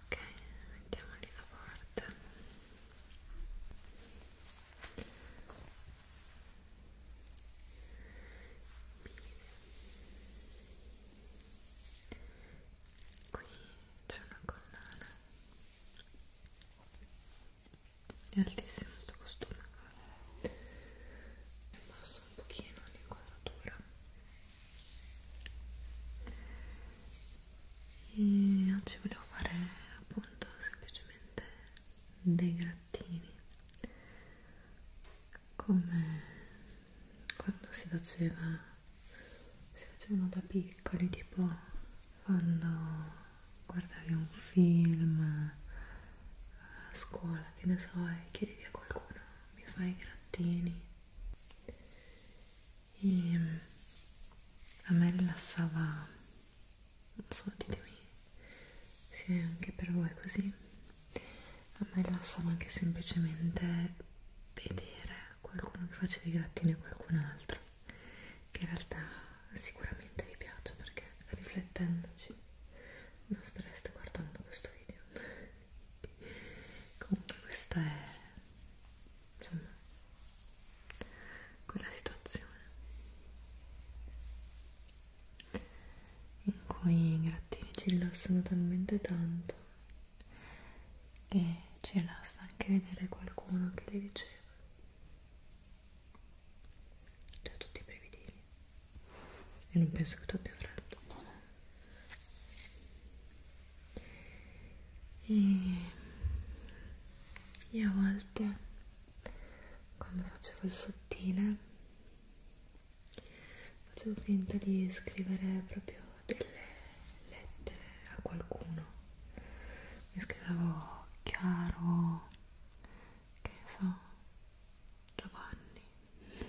ok mettiamoli da parte Bene. qui c'è una collana è altissimo questo costume basso un pochino l'inquadratura ok e oggi volevo fare appunto semplicemente dei grattini come quando si faceva si facevano da piccoli tipo quando guardavi un film a scuola che ne so e chiedi a qualcuno mi fai i grattini e mm, a me rilassava non so ditemi se è anche per voi così a me rilassava anche semplicemente vedere qualcuno che faceva i grattini a qualcun altro che in realtà sicuramente vi piace perché riflettendoci non stareste guardando questo video comunque questa è insomma quella situazione in cui i grattini ci rilassano talmente tanto che ci rilassa anche vedere qualcuno che li riceve cioè tutti i prevedili e non penso che tu abbia freddo no, no e, e a volte quando facevo il sottile facevo finta di scrivere proprio delle lettere a qualcuno mi scrivevo chiaro che so Giovanni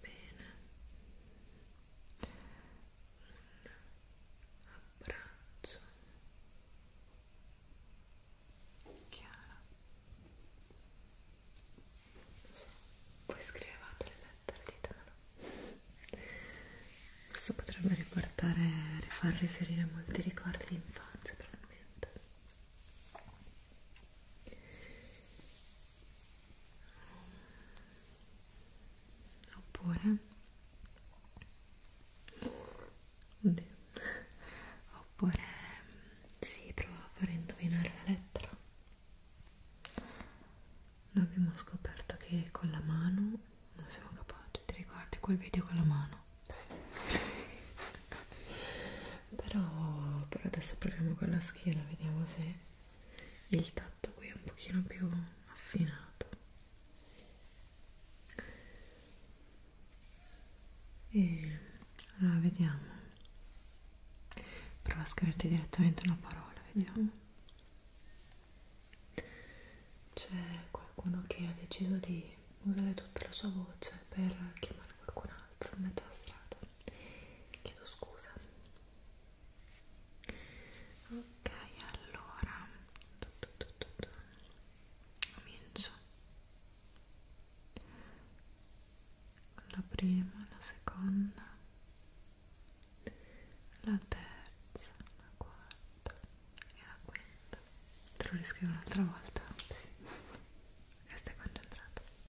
bene un abbraccio chiara lo so, voi scrivevate le lettere di Tano questo potrebbe riportare far riferire a molti ricordi di infanzia probabilmente oppure Oddio. oppure si prova a fare indovinare la lettera noi abbiamo scoperto che con la mano non siamo capaci ti ricordi quel video con la mano però, però adesso proviamo con la schiena vediamo se il tatto qui è un pochino più affinato e allora vediamo prova a scriverti direttamente una parola vediamo mm-hmm. c'è qualcuno che ha deciso di usare tutta la sua voce per chiamare qualcun altro a metà strada chiedo scusa ok allora comincio la prima la seconda la terza la quarta e la quinta te lo riscrivo un'altra volta sì. stai concentrato